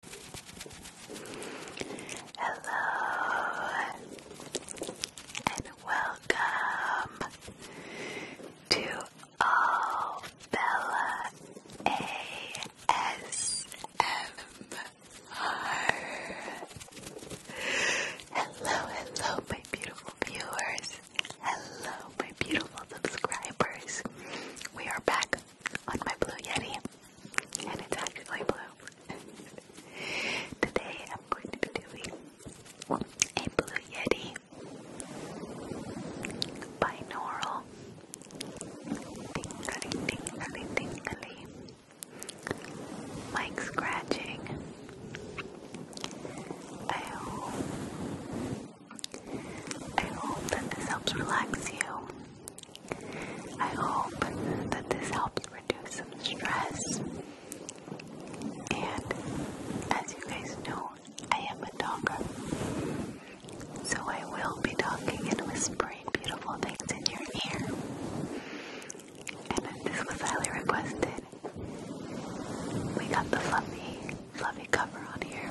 Hello and welcome to All Bella ASMR. Hello, hello, my beautiful viewers. Hello, my beautiful subscribers. We are back on my Blue Yeti, and it's actually blue. Today I'm going to be doing a Blue Yeti binaural tingly, scratching. I hope, I hope that this helps relax you. I hope that this helps reduce some stress. And as you guys know, I am a talker. So I will be talking and whispering beautiful things in your ear. And this was highly requested. We got the fluffy, fluffy cover on here.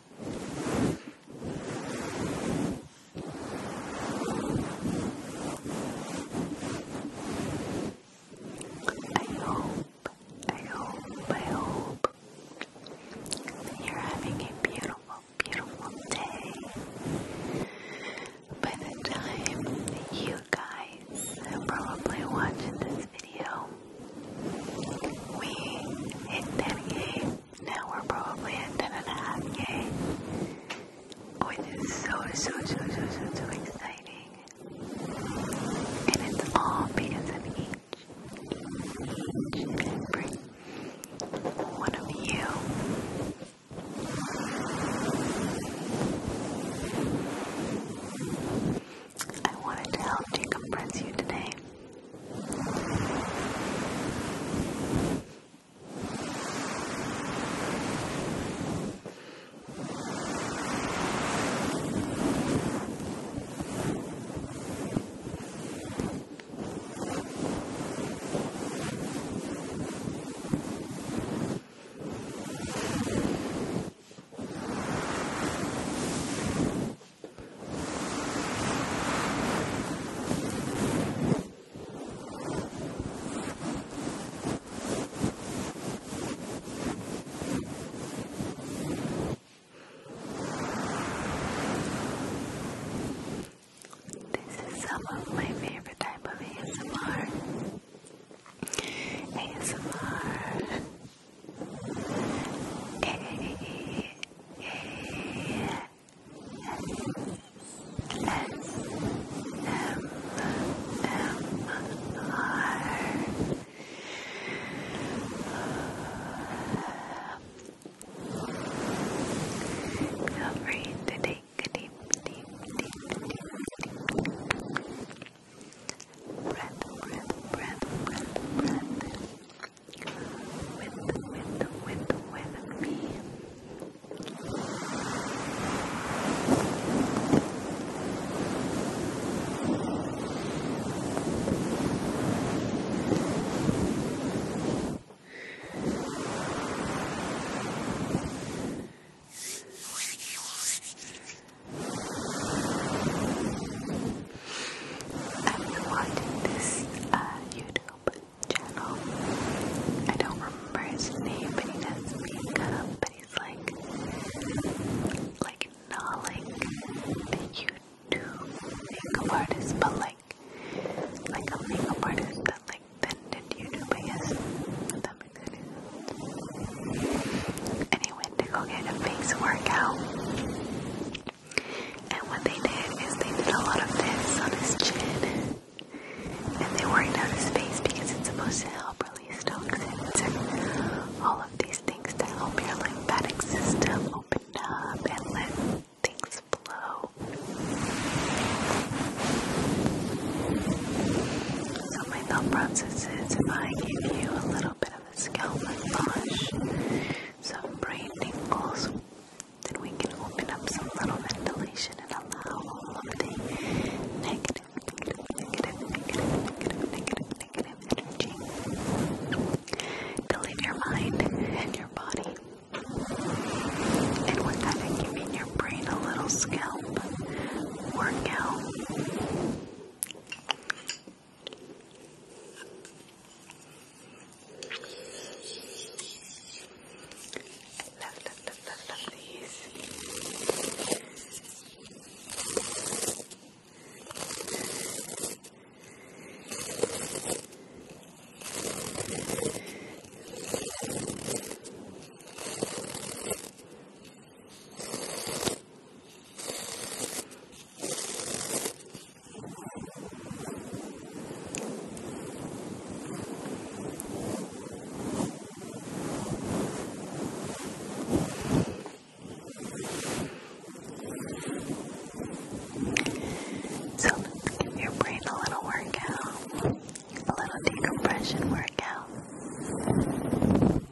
I hope, I hope, I hope you're having a beautiful, beautiful day. By the time you guys are probably watching this video, we hit 10k. Now we're probably at 10.5k. Which is so, so, so, so, so, so exciting. And it's all because of each, each, every one of you. I wanted to help decompress you today. This is some of my favorite type of ASMR. ASMR. Feel free to take a deep, deep, deep, deep, deep, deep, breath, breath, breath, breath, breath with, with, with, with me. I've watched this YouTube channel. I don't remember his name, but he does makeup, but he's like, like not like YouTube makeup artist, but like, like a makeup artist that like then YouTube, I guess. That makes sense. Anyway to go get a face workout. And what they did is they did a lot of this on his chin. And they worked out his face because it's supposed to help release toxins and all of these things to help your lymphatic system open up and let things flow. So my thought process is if I give you a little bit of scalp massage, some brain tingles. Then we can open up some little ventilation and allow all of the negative, negative, negative, negative, negative, negative, negative energy to leave your mind and your body. And with that, I give your brain a little scalp workout. Love, love, love, love, love these. So give your brain a little workout, a little decompression workout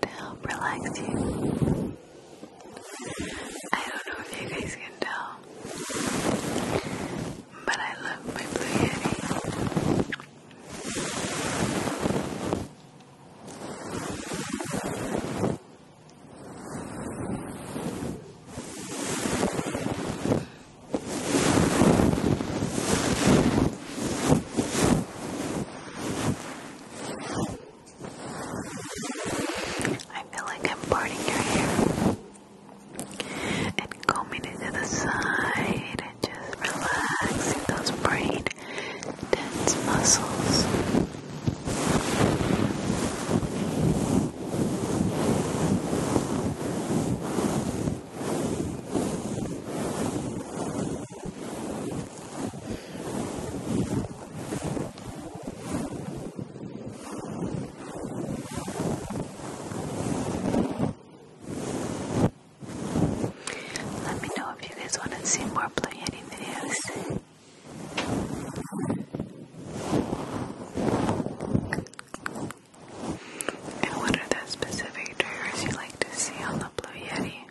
to relax you. I don't know if you guys can tell, but I love my Blue Yeti. I feel like I'm parting your hair and combing it to the side and just relaxing those braid-tense muscles. Let me know if you guys want to see more Play Yeti videos. And what are the specific triggers you like to see on the Blue Yeti?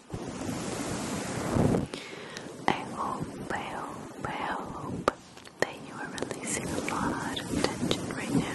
I hope, hope, hope that you are releasing a lot of tension right now.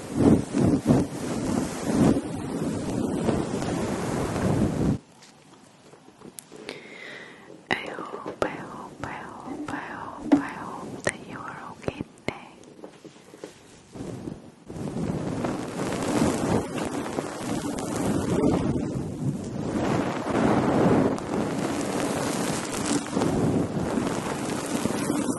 I hope, I hope, I hope, I hope, I hope that you are okay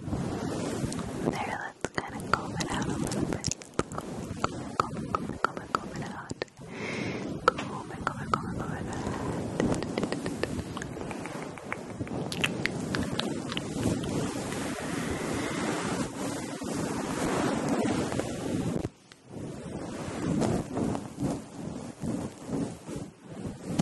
There, let's kind of comb it out a little bit. Comb, comb, comb, comb, comb it out. Comb it, comb it, comb it, comb it out. I hope, I hope,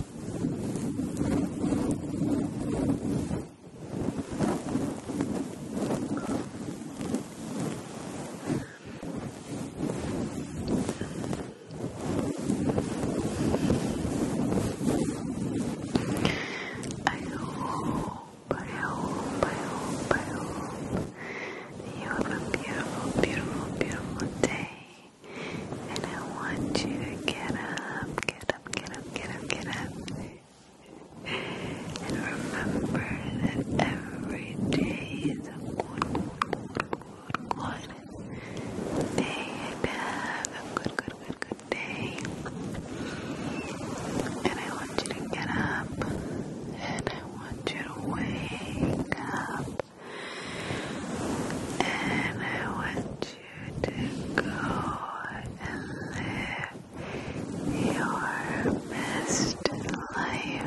I hope you have a beautiful, beautiful, beautiful day. And I want you to get up, get up, get up, get up, get up. And remember that every day is a good, good, good, good day have a good, good, good, good day. And I want you to get up. And I want you to wake up. And I want you to go and live your best life.